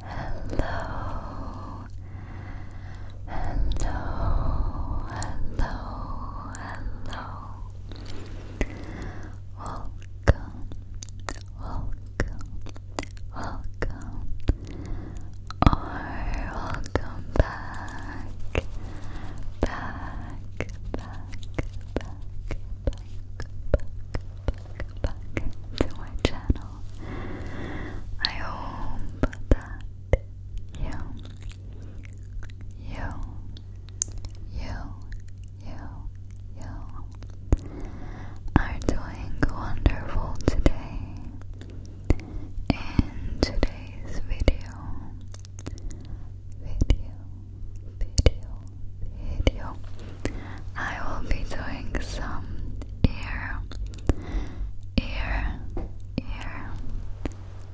Hello, hello, hello, hello. Welcome, welcome, welcome, or welcome back, back, back, back, back, back to my channel. I hope that you, you, you, you, you are doing wonderful today. In today's video, video, video, video, I will be doing some ear, ear, ear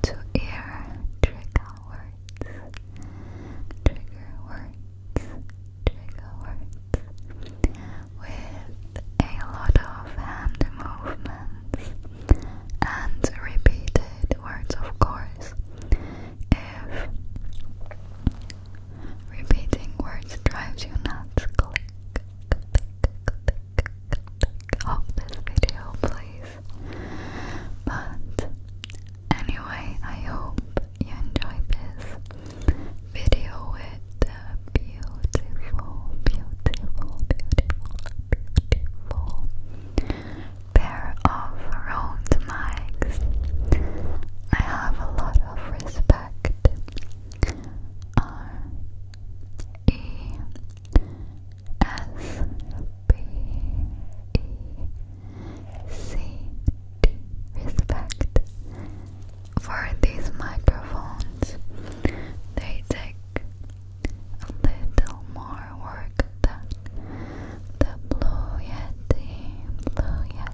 to ear trigger words, trigger words, trigger words with a lot of hand movements and repeated words, of course. If Repeating words drives you nuts. Click, off this video, please. But anyway, I hope you enjoyed this video with the beautiful, beautiful, beautiful, beautiful pair of round mics. I have a lot of respect. R E S B E C T respect for these microphones. They take a little more work than the Blue Yeti, Blue Yeti.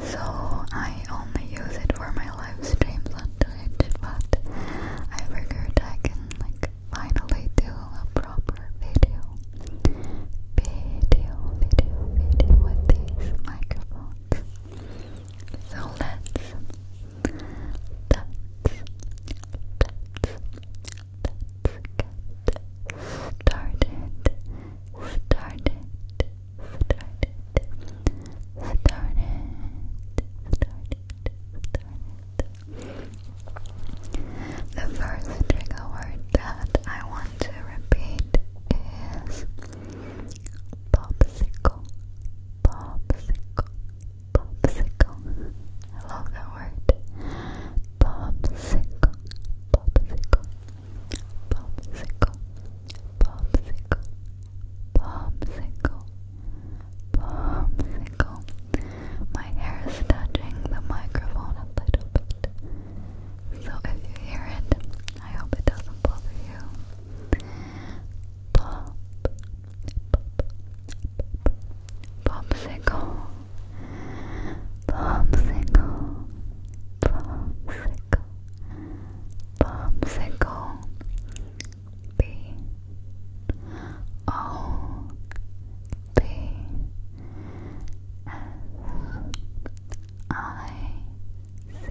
So I only use it for my live but I figured I can like finally do a proper video. Video, video, video with these microphones. So let's started. The first trigger word that I want to repeat is popsicle, popsicle, Popsicle. I love that word. Popsicle. Popsicle. Popsicle. Popsicle. Popsicle. Popsicle. My hair is touching the microphone a little bit. So if you hear it, I hope it doesn't bother you. Pop. Popsicle, popsicle, popsicle, popsicle. B O B S I C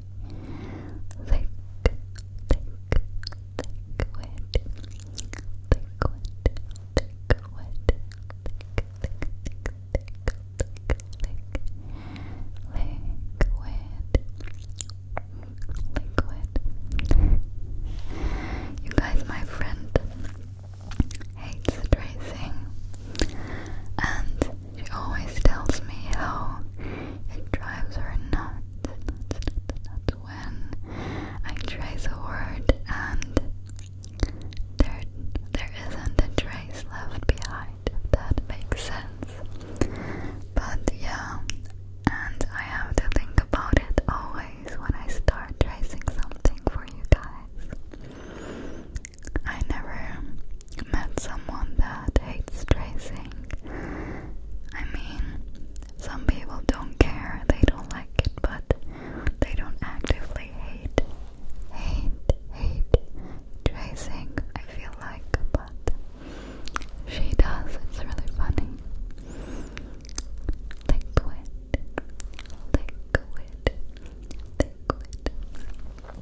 Liquid. Liquid. Liquid. Liquid. Liquid. You guys, my friend hates tracing, and she always tells me how it drives her nuts when I trace a word and there, there isn't a trace left behind, if that makes sense. But yeah, and I have to think about it always when I start tracing something for you guys. I never met someone that hates tracing. I mean, some people don't care, they don't like it, but they don't actively hate, hate, hate tracing, I feel like, but she does, it's really funny. Liquid, liquid, liquid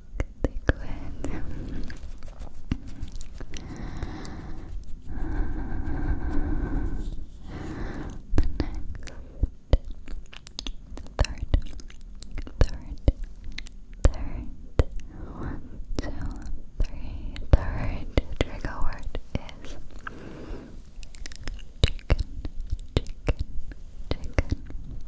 liquid. the next, third, third, third, one, two, trigger word is chicken, chicken, chicken.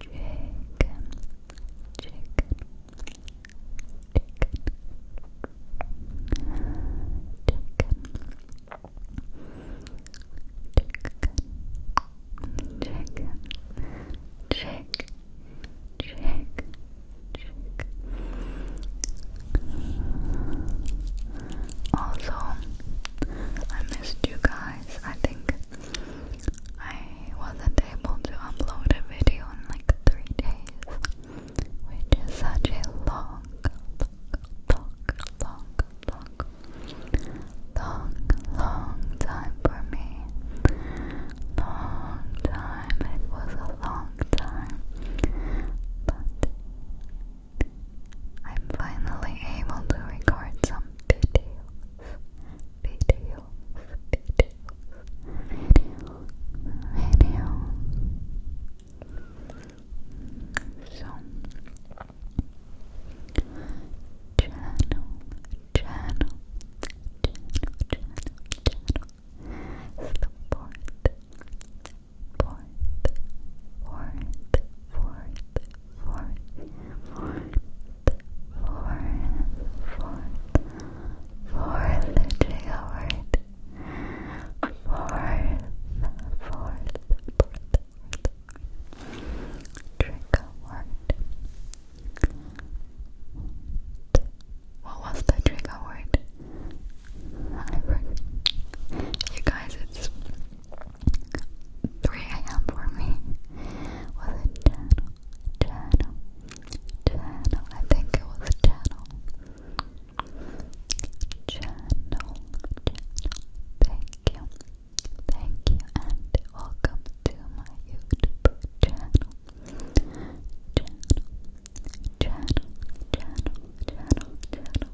chicken, chicken, chicken, chicken, chicken, chicken, chicken. Also, I missed you guys. I think I wasn't able to upload a video in like three days, which is such a long, long, long, long, long, long time for me. Long time. It was a long time, but I'm finally able to record some video videos, videos, videos. So, channel, channel, channel, channel, channel. It's the fourth, fourth, fourth, fourth fourth, fourth, fourth, fourth, fourth trigger word. Fourth, fourth, fourth, fourth trigger What was the trigger word? You guys, it's 3 a.m. for me was a channel, channel, channel. I think it was a channel. Channel, channel. Thank you, thank you, and welcome to my YouTube channel. Channel, channel, channel, channel, channel.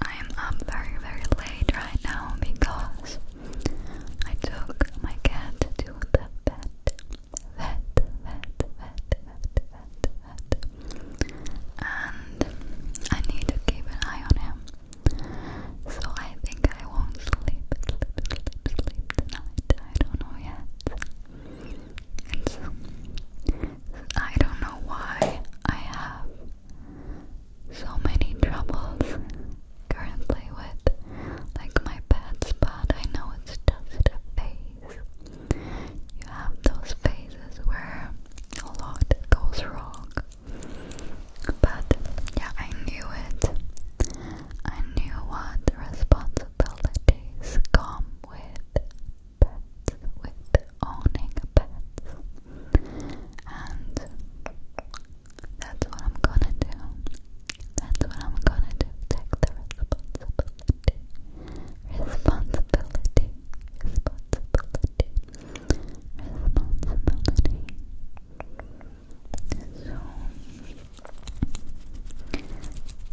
I'm up very, very late right now because I took my cat to the vet. Vet, vet, vet, vet, vet, vet. And I need to keep an eye on him. So I think I won't sleep, tonight. I don't know yet. I don't know why I have so many troubles currently with like my bad spot. I know it's just a phase. You have those phases where a lot goes wrong. But yeah, I knew it. I knew what responsibilities come with pets, with owning pets, and that's what I'm gonna do. That's what I'm gonna do. Take the responsibility, responsibility, responsibility, responsibility. So,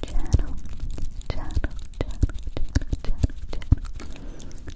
channel, channel, channel, channel, channel, channel,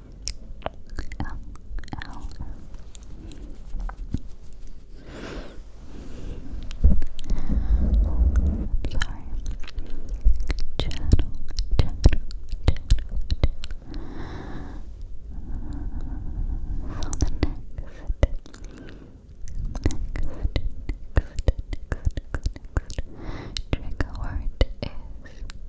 L L I'm sorry. Channel, channel, channel, So the next, next, next, next, next, next trigger word is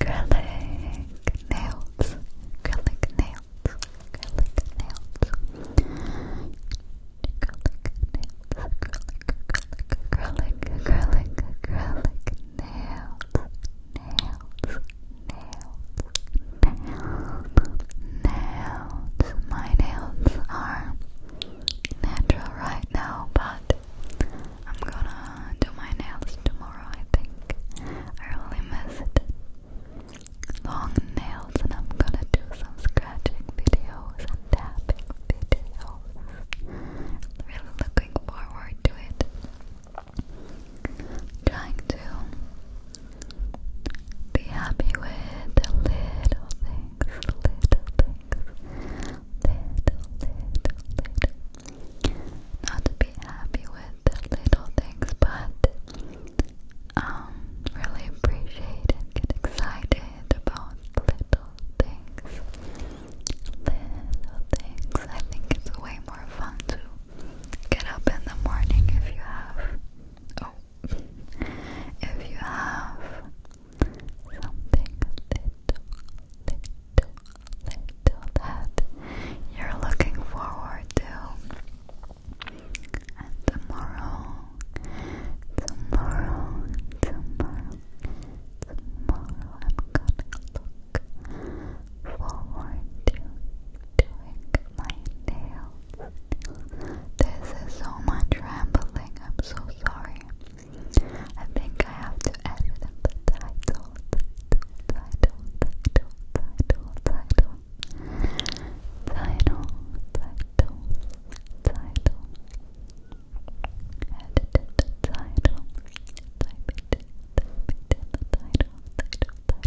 acrylic nails, acrylic nails, acrylic nails, acrylic nails, acrylic, acrylic, acrylic, acrylic nails, nails, nails, nails, nails. My nails are natural right now, but I'm gonna do my nails tomorrow, I think. I really miss it. Long nails, and I'm gonna do some scratching videos and tapping videos. Really looking forward to it. Trying to be happy with the little things, little things, little, little, little not to be happy with little things, but um, really appreciate and get excited about little things. Little things. I think it's way more fun to get up in the morning if you have. Oh, if you have something little, little, little that you're looking forward to. And tomorrow, tomorrow, tomorrow, tomorrow, I'm gonna look forward to doing my nails. This is so much rambling, I'm so sorry. I think I have to edit the title, title, title, title, title, title, title, title, edit the title, type it, type it the title, title, title,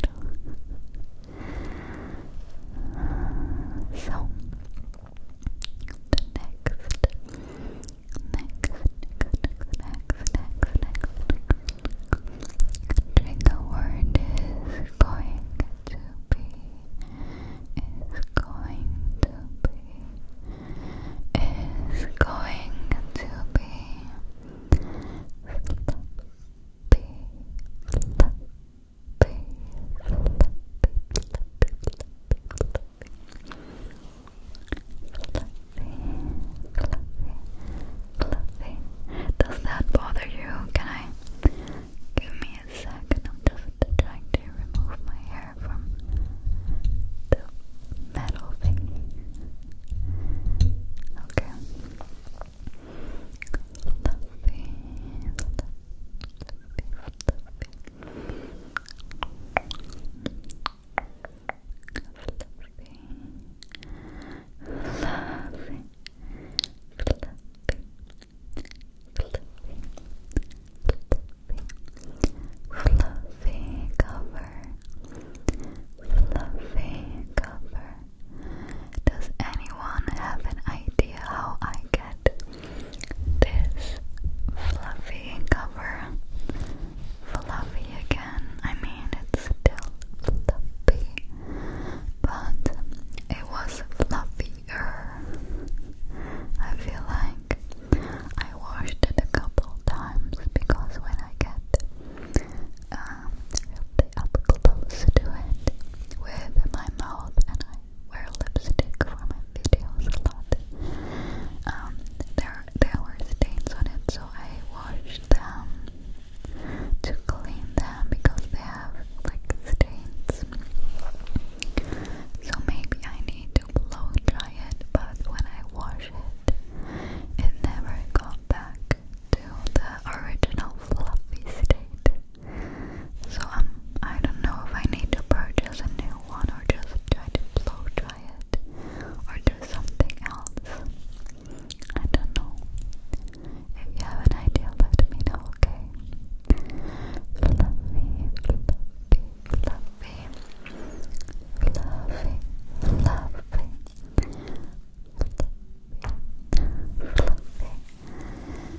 title, title, title. So the next next, next, next trigger word is going to be is going to be is going to be fluffy. Does that bother you? Can I? Give me a second. I'm just trying to remove my hair from the metal thingy. Okay fluffy, fluffy, fluffy cover, fluffy cover. Does anyone have an idea how I get this fluffy cover. Fluffy again, I mean, it's still fluffy, but it was fluffier. I feel like I washed it a couple times because when I get um, really to it with my mouth and wear lipstick for my videos a lot. Um, there there were stains on it, so I washed them to clean them because they have like stains. So maybe I need to blow dry it, but when I wash it, it never got back to the original fluffy state. So I'm um, I don't know if I need to purchase a new one or just try to blow dry it or do something else. I don't know. If you have an idea, let me know, okay? Fluffy, fluffy, fluffy, fluffy, fluffy, fluffy, fluffy, fluffy,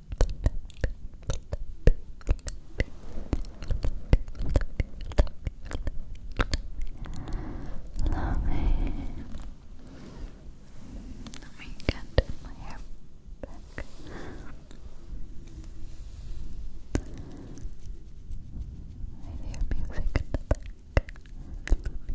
Let me, let me get my hair back. I hear music in the back. Let me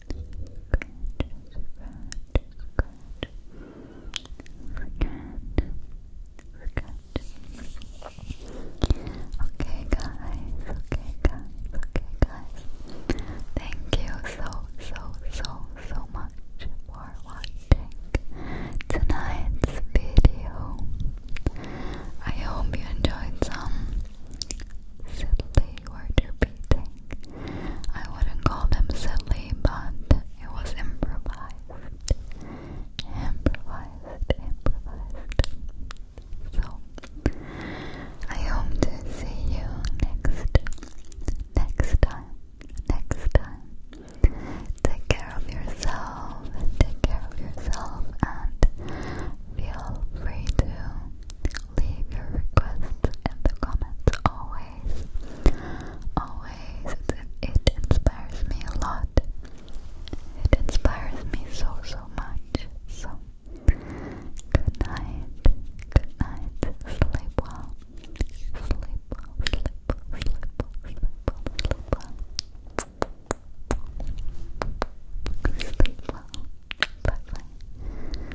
Okay guys, okay guys, okay guys. Thank you so so so so much for watching tonight's video. I hope you enjoyed some silly word repeating I wouldn't call them silly, but it was improvised. Improvised, improvised. So, I hope to see you next, next time, next time. Take care of yourself, take care of yourself, and feel free to Leave your requests in the comments always. Always. It, inspires me a lot. It inspires me so, so much. So, good night. Good night. Sleep well. Sleep well. Sleep well. Sleep well. Sleep well. Sleep well. Bye bye.